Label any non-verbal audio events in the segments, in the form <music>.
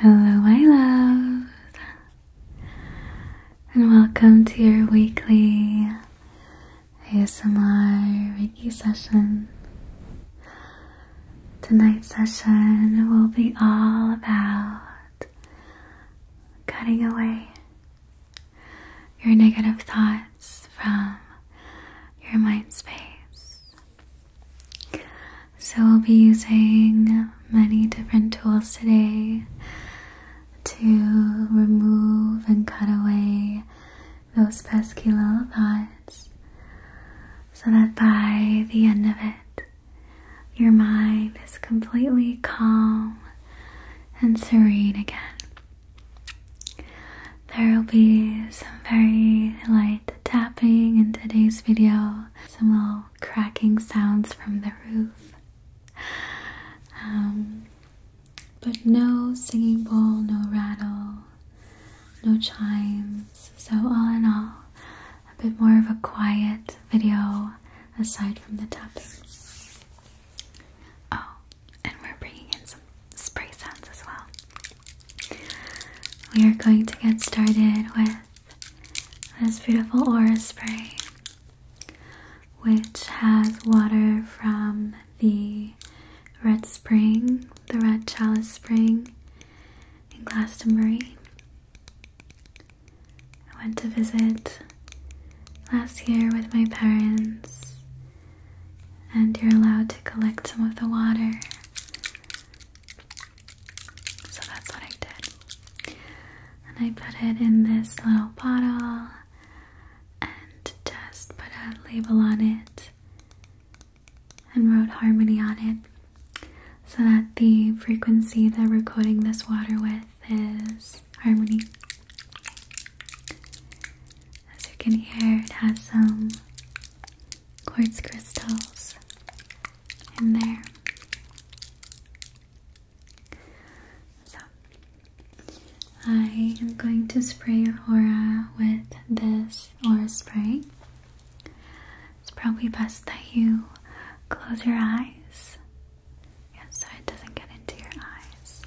Hello, my love, and welcome to your weekly ASMR Reiki session. Tonight's session will be all about cutting away your negative thoughts from your mind space so, i will be using many different tools today to remove and cut away those pesky little thoughts so that by the end of it, your mind is completely calm and serene again. There will be some very light tapping in today's video, some little cracking sounds from the roof. Um, but no singing bowl, no rattle, no chimes. So, all in all, a bit more of a quiet video aside from the tapping. Oh, and we're bringing in some spray sounds as well. We are going to get started with this beautiful aura spray, which has water from the Red Spring, the Red Chalice Spring in Glastonbury. I went to visit last year with my parents, and you're allowed to collect some of the water so that's what I did. And I put it in this little bottle and just put a label on it and wrote harmony on it so that the frequency that we're coating this water with is harmony. As you can hear, it has some quartz crystals in there. So, I am going to spray your aura with this aura spray. It's probably best that you close your eyes. Yeah, so it doesn't get into your eyes.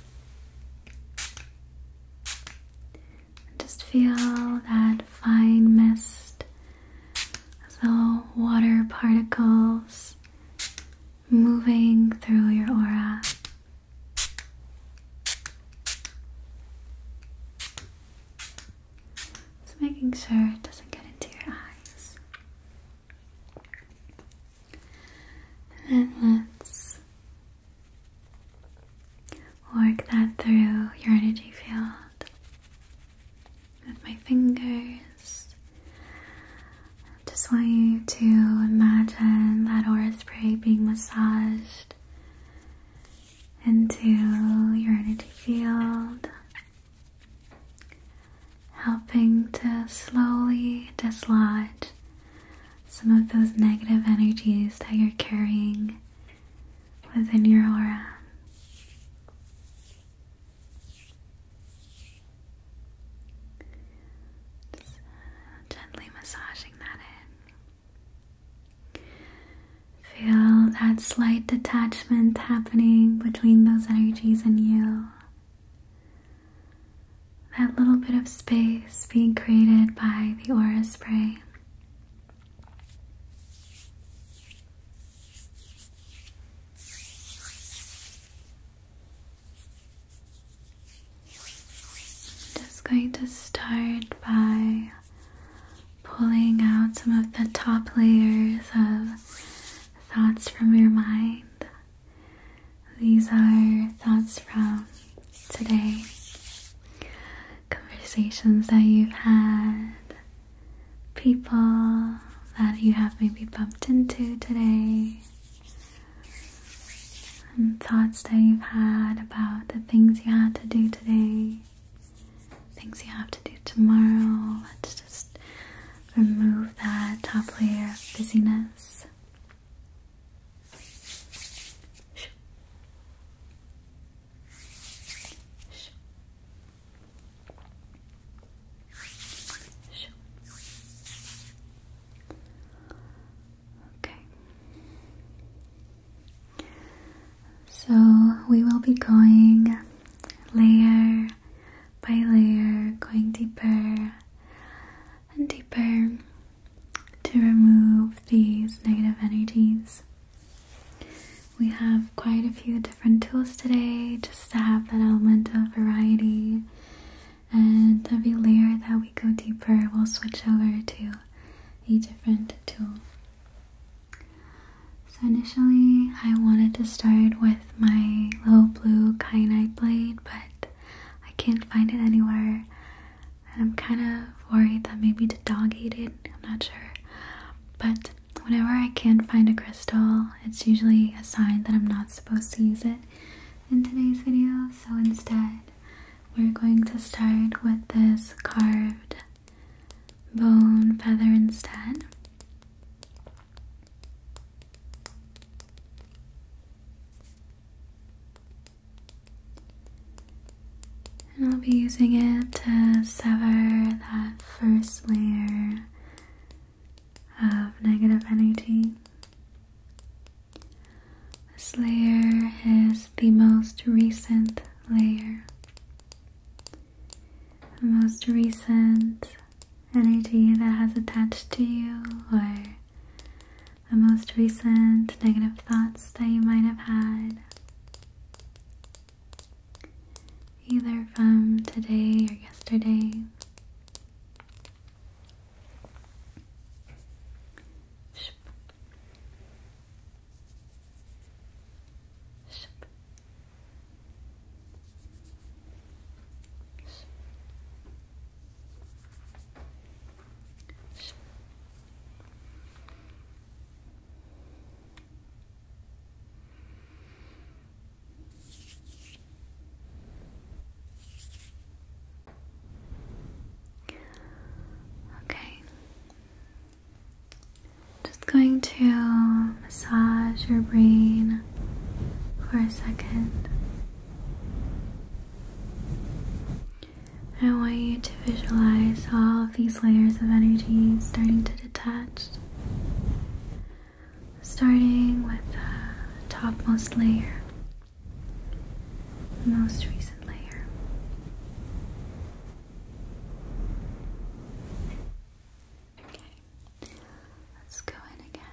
Just feel that fine mist little water particles moving through your aura. Just making sure it doesn't get into your eyes. And let's work that through your energy field with my fingers. just want you to imagine that aura spray being massaged into your energy field, helping to slowly dislodge some of those negative energies that you're carrying within your aura. gently massaging that in. Feel that slight detachment happening between those energies and you. That little bit of space being created by the aura spray. Just going to start by pulling out some of the top layers of thoughts from your mind. These are thoughts from today, conversations that you've had, people that you have maybe bumped into today, and thoughts that you've had about the things you had to do today, things you have to do tomorrow. Let's just remove that top layer of busyness. Okay. So we will be going layer by layer, going deeper and deeper to remove these negative energies. We have quite a few different tools today just to have that element of variety. And every layer that we go deeper, we'll switch over to a different tool. So, initially, I wanted to start with my little blue kyanite blade, but I can't find it anywhere. And I'm kind of worried that maybe to dog ate it, I'm not sure. But whenever I can't find a crystal, it's usually a sign that I'm not supposed to use it in today's video. So instead, we're going to start with this carved bone feather instead. And I'll be using it to sever that first layer of negative energy. This layer is the most recent layer. The most recent energy that has attached to you, or the most recent negative thoughts that you might have had either from today or yesterday. Okay. Just going to massage your brain for a second. I want you to visualize all of these layers of energy starting to detach starting with the topmost layer, most recent layer. Okay, let's go in again.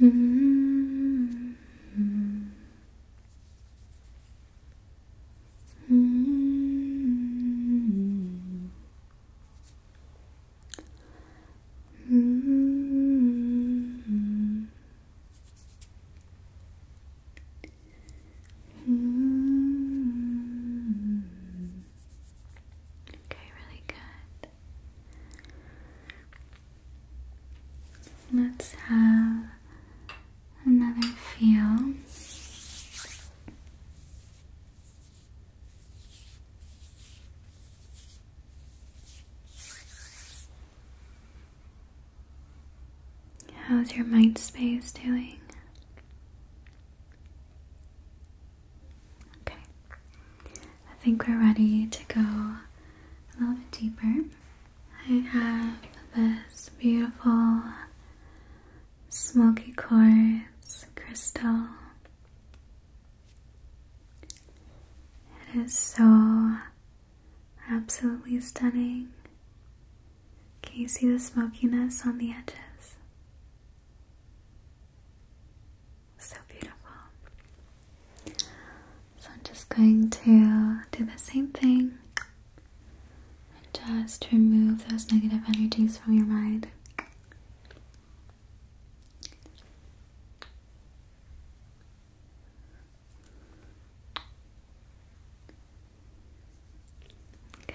Mm-hmm. -hmm. -hmm. -hmm. Okay, really good. Let's have another feel. How's your mind space doing? Okay, I think we're ready to go a little bit deeper. I have this beautiful smoky quartz crystal. It is so absolutely stunning. Can you see the smokiness on the edges? So beautiful. So I'm just going to do the same thing and just remove those negative energies from your mind. Good.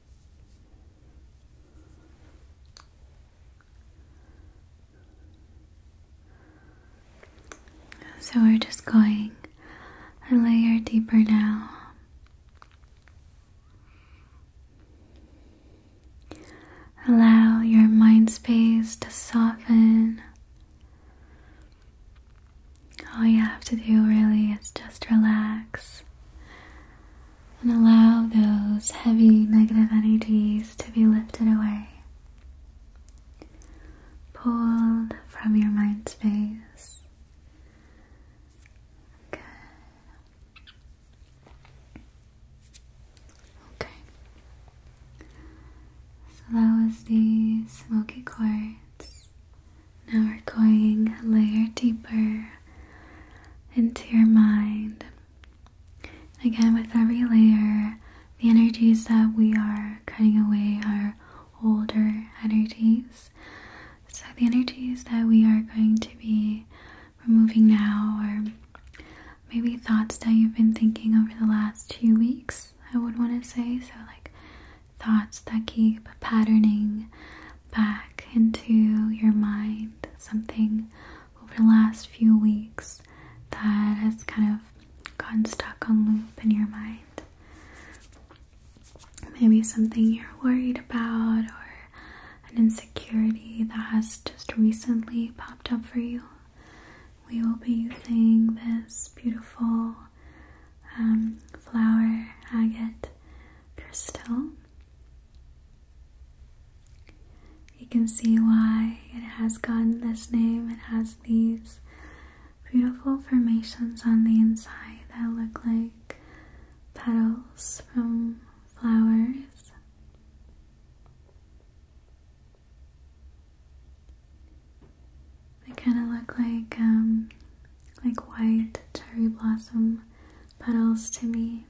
So we're just going a layer deeper now. Allow your mind space to soften all you have to do really is just relax and allow those heavy negative energies to be lifted away, pulled from your mind space. Good. Okay. So that was the smoky quartz. Now we're going a layer deeper into your mind. Again, with every layer, the energies that we are cutting away are older energies. So, the energies that we are going to be removing now or maybe thoughts that you've been thinking over the last two weeks, I would want to say. So, like thoughts that keep patterning back into your mind. Something over the last few weeks that has kind of gotten stuck on loop in your mind. Maybe something you're worried about or an insecurity that has just recently popped up for you. We will be using this beautiful um, flower agate crystal. You can see why it has gotten this name. It has these beautiful formations on the inside that look like petals from flowers. They kind of look like um, like white cherry blossom petals to me.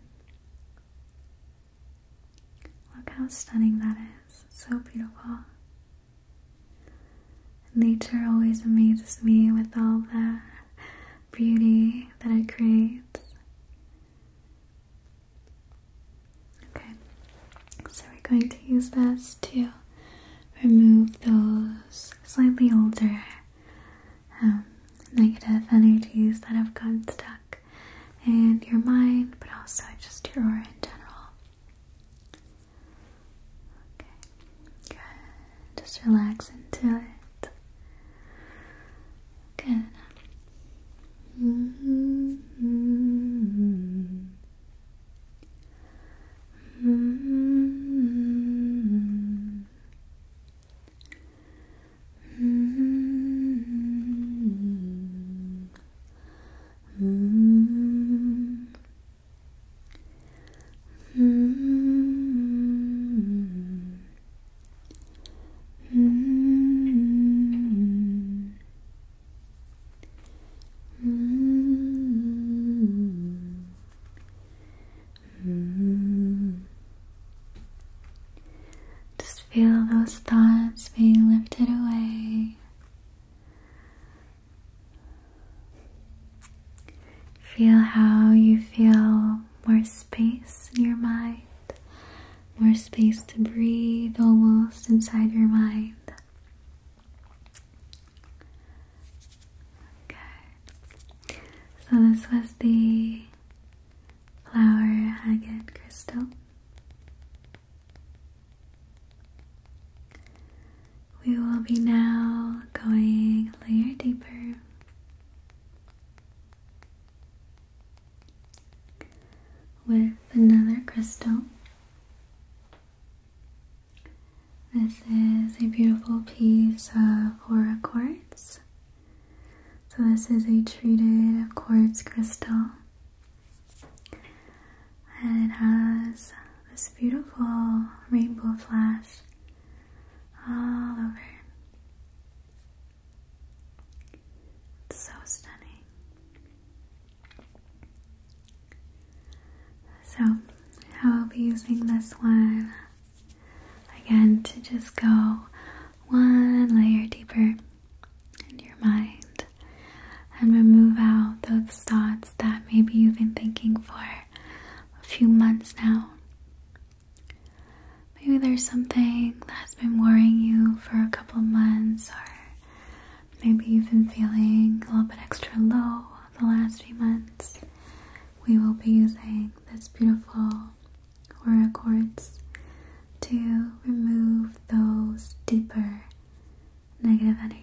Look how stunning that is. so beautiful. Nature always amazes me with all the beauty that it creates. Okay, so we're going to use this to remove those slightly older um, negative energies that have gotten stuck in your mind, but also just your aura in general. Okay, good. Just relax into it. Good. -hmm. -hmm. -hmm. -hmm. -hmm. -hmm. -hmm. Mm-hmm. Just feel those thoughts being lifted away. Feel how you feel more space in your mind, more space to breathe almost inside your mind. Okay. So this was the flower agate crystal. We will be now going a layer deeper. With another crystal, this is a beautiful piece of aura quartz. So this is a treated quartz crystal. And it has this beautiful rainbow flash all over. It's so stunning. So I will be using this one Again, to just go one layer deeper in your mind and remove out those thoughts that maybe you've been thinking for a few months now. Maybe there's something that's been worrying you for a couple months, or maybe you've been feeling a little bit extra low the last few months. We will be using that's this beautiful aura quartz to remove those deeper negative energies.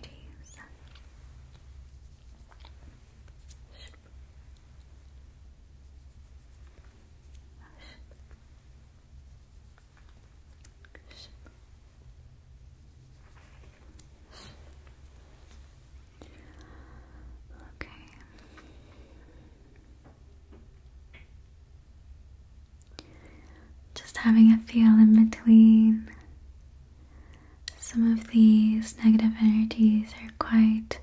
Okay. Just having a feel in between. Some of these negative energies are quite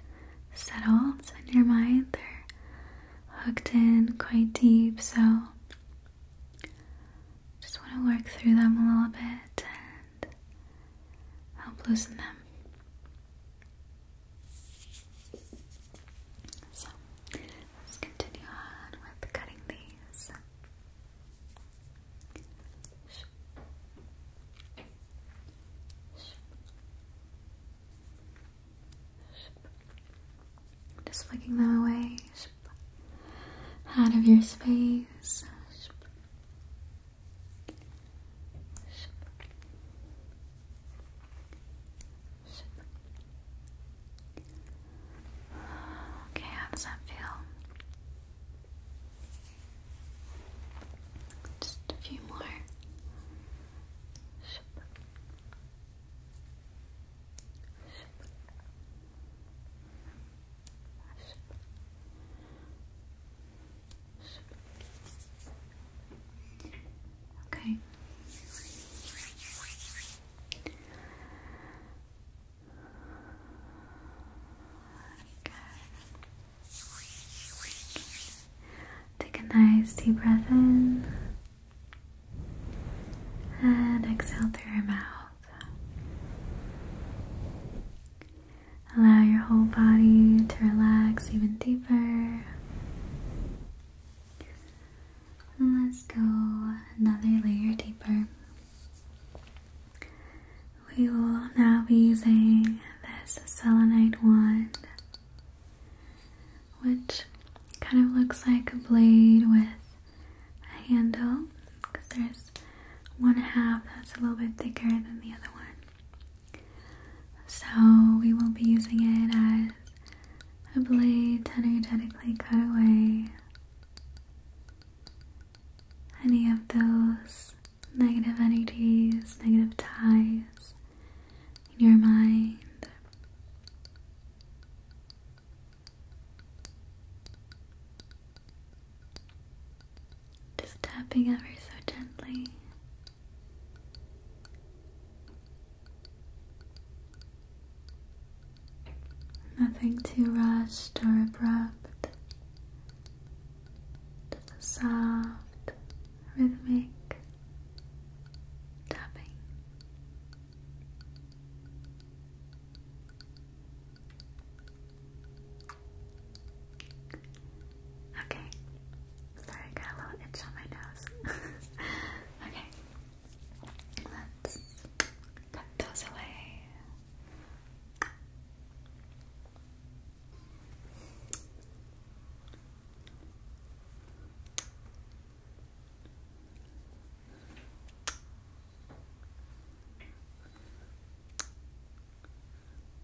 settled in your mind, they're hooked in quite deep, so just want to work through them a little bit and help loosen them. So let's continue on with cutting these. Just flicking them away out of your space. Okay, how does that feel? Just a few more. Okay. Take a nice deep breath in and exhale through your mouth. Allow your whole body to relax even deeper. And let's go another layer deeper. We will now be using this selenite wand, which kind of looks like a blade with a handle because there's one half that's a little bit thicker than the other one. So we will be using it as a blade energetically cut away any of those negative energies, negative ties in your mind. Just tapping ever so gently. Nothing too rushed or abrupt. Just a soft, rhythmic tapping. Okay. Sorry, got a little itch on my nose. <laughs> okay. Let's cut those away.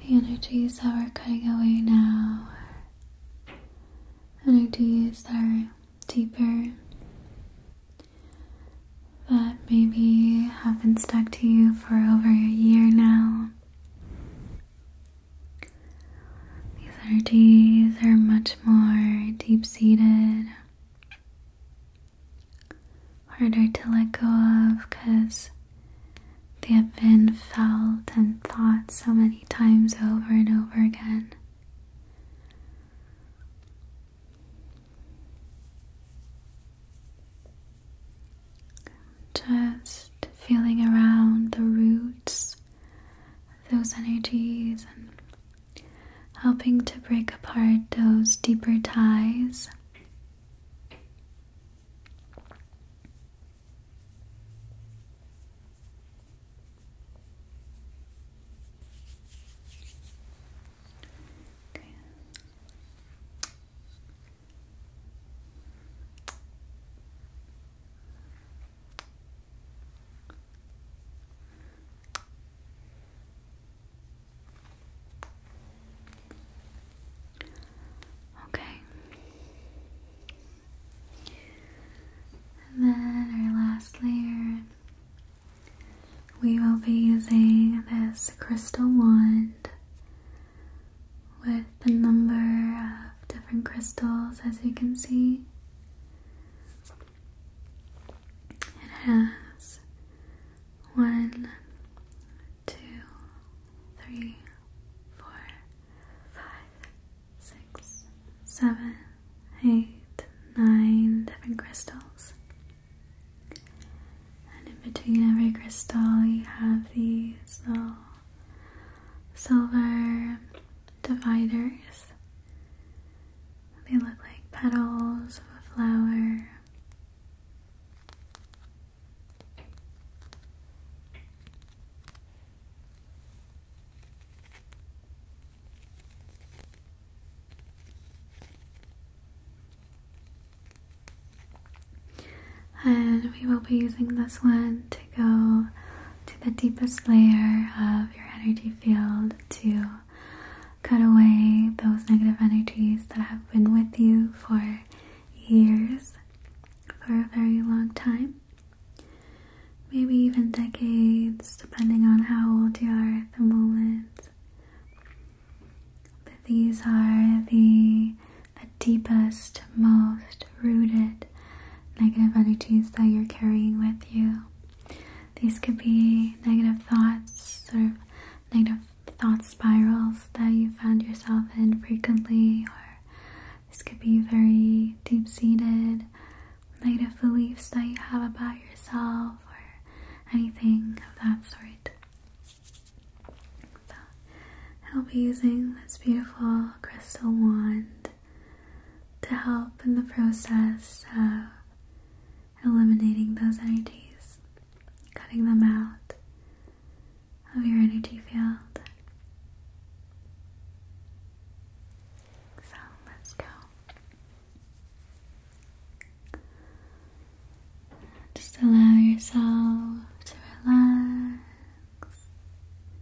The energies that are cutting away now are energies that are deeper, that maybe have been stuck to you for over a year now. These energies are much more deep seated, harder to let go of because they have been felt and thought so many times over and over again. Just feeling around the roots those energies and helping to break apart those deeper ties. Okay. And then our last layer, we will be using this crystal wand with a number of different crystals, as you can see. It has one, two, three, four, five, six, seven, eight, nine different crystals. And in between every crystal, you have these little silver dividers. They look like petals of a flower. And we will be using this one to go to the deepest layer of your energy field to cut away those negative energies that have been with you for years, for a very long time. Maybe even decades, depending on how old you are at the moment. But these are the, the deepest, most rooted negative energies that you're carrying with you. These could be negative thoughts or negative thought spirals that you found yourself in frequently, or this could be very deep seated negative beliefs that you have about yourself or anything of that sort. So, I'll be using this beautiful crystal wand to help in the process of eliminating those energies, cutting them out of your energy field. So let's go. Just allow yourself to relax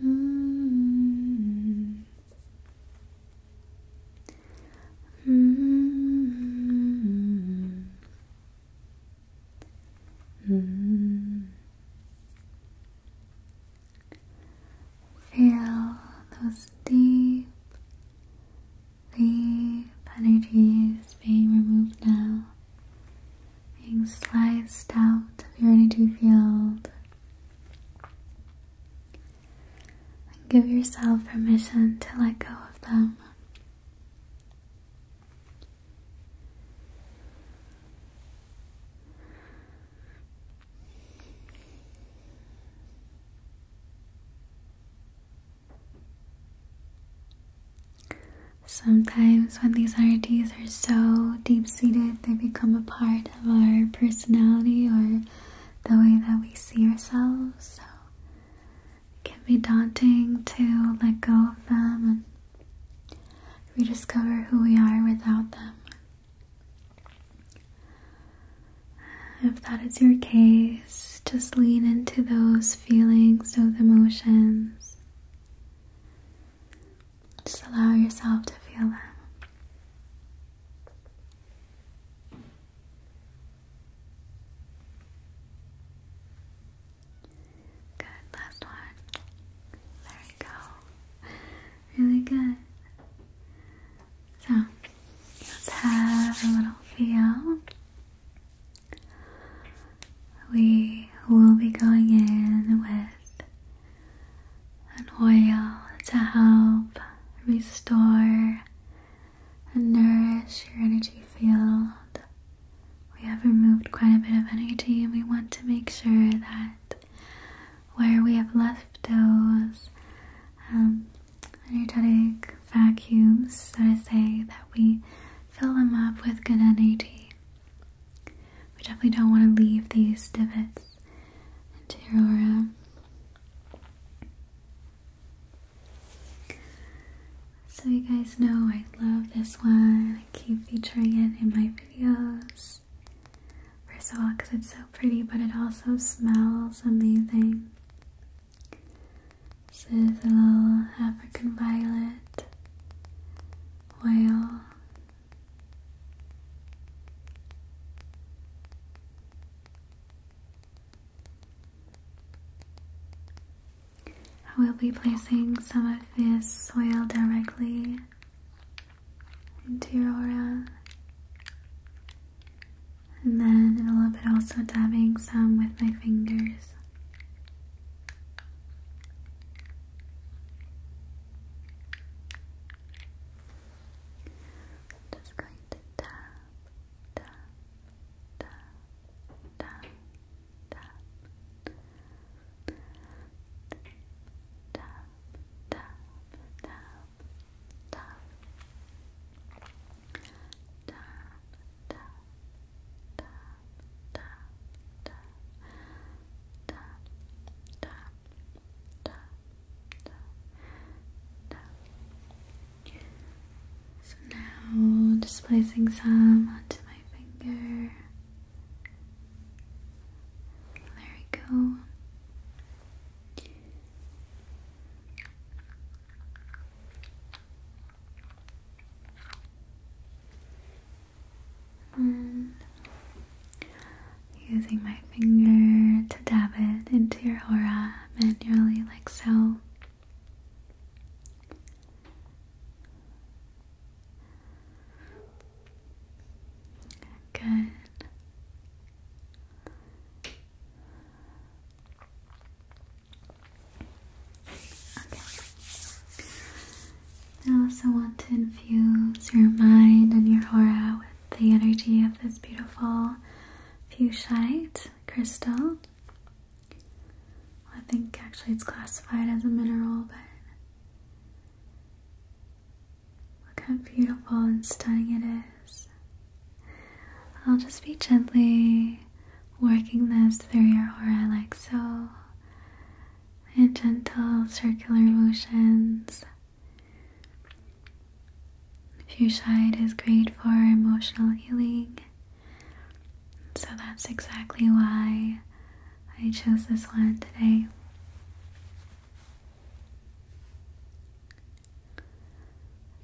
hmm hmm hmm Feel those deep, deep energies being removed now being sliced out of your energy field. And give yourself permission to let go of them. Sometimes, when these oddities are so deep seated, they become a part of our personality or the way that we see ourselves. So it can be daunting to let go of them and rediscover who we are without them. If that is your case, just lean into those feelings, those emotions. Just allow yourself to feel them. Good, last one. There you go. Really good. So, let's have a little feel we will be going in with an oil to help restore and nourish your energy field. We have removed quite a bit of energy, and we want to make sure that where we have left those um, energetic vacuums, so to say, that we fill them up with good energy. We definitely don't want to leave these divots into your So you guys know I love this one. I keep featuring it in my videos. First of all, because it's so pretty, but it also smells amazing. This is a little African violet oil. I will be placing some of this soil directly into your aura. And then in a little bit also dabbing some with my fingers. I'm just going to tap, tap, tap, tap, tap, tap, tap, tap, tap, tap, tap, tap. So now just placing some onto my finger. There we go. Using my finger to dab it into your aura manually, like so. Good. Okay. I also want to infuse your mind and your aura with the energy of this beautiful fuchsite crystal. I think actually it's classified as a mineral, but look how beautiful and stunning it is. I'll just be gently working this through your aura like so and gentle circular motions. Fuchsite is great for emotional healing, so that's exactly why I chose this one today.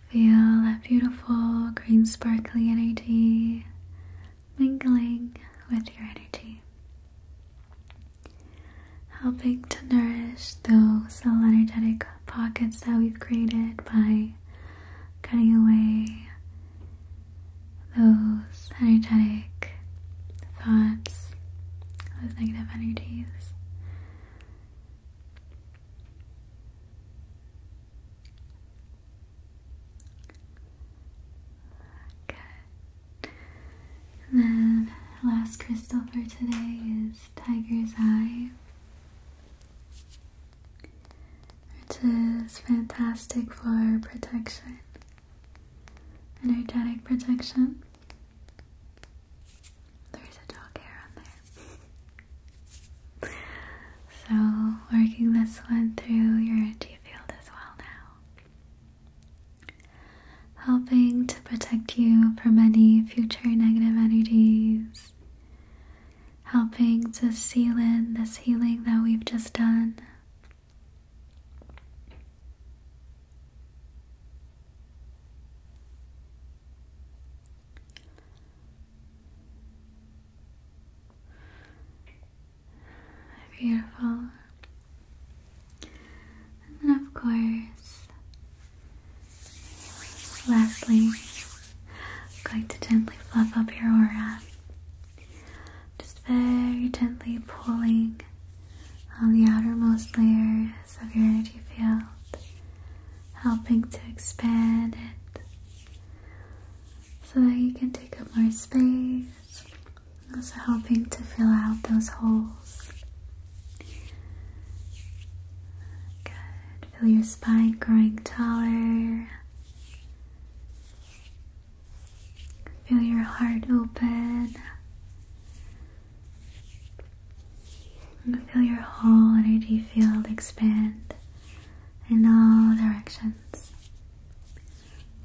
Feel that beautiful green sparkly energy mingling with your energy, helping to nourish those little energetic pockets that we've created by cutting away those energetic thoughts, those negative energies. Good. And then last crystal for today is Tiger's Eye. Which is fantastic for protection, energetic protection. There's a dog hair on there. <laughs> so, working this one through your energy field as well now helping to protect you from any future negative energies, helping to seal in this healing that we've just done. Beautiful. And then, of course, lastly, I'm going to gently fluff up your aura. Just very gently pulling on the outermost layers of your energy field, helping to expand it so that you can take up more space also helping to fill out those holes. Good. Feel your spine growing taller. Feel your heart open. feel your whole energy field expand in all directions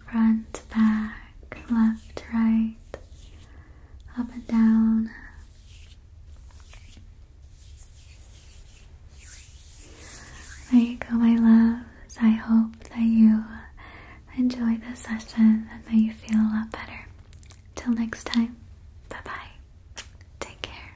front, back, left, right, up and down. There you go, my loves. I hope that you enjoyed this session and that you feel a lot better. Till next time, bye bye. Take care.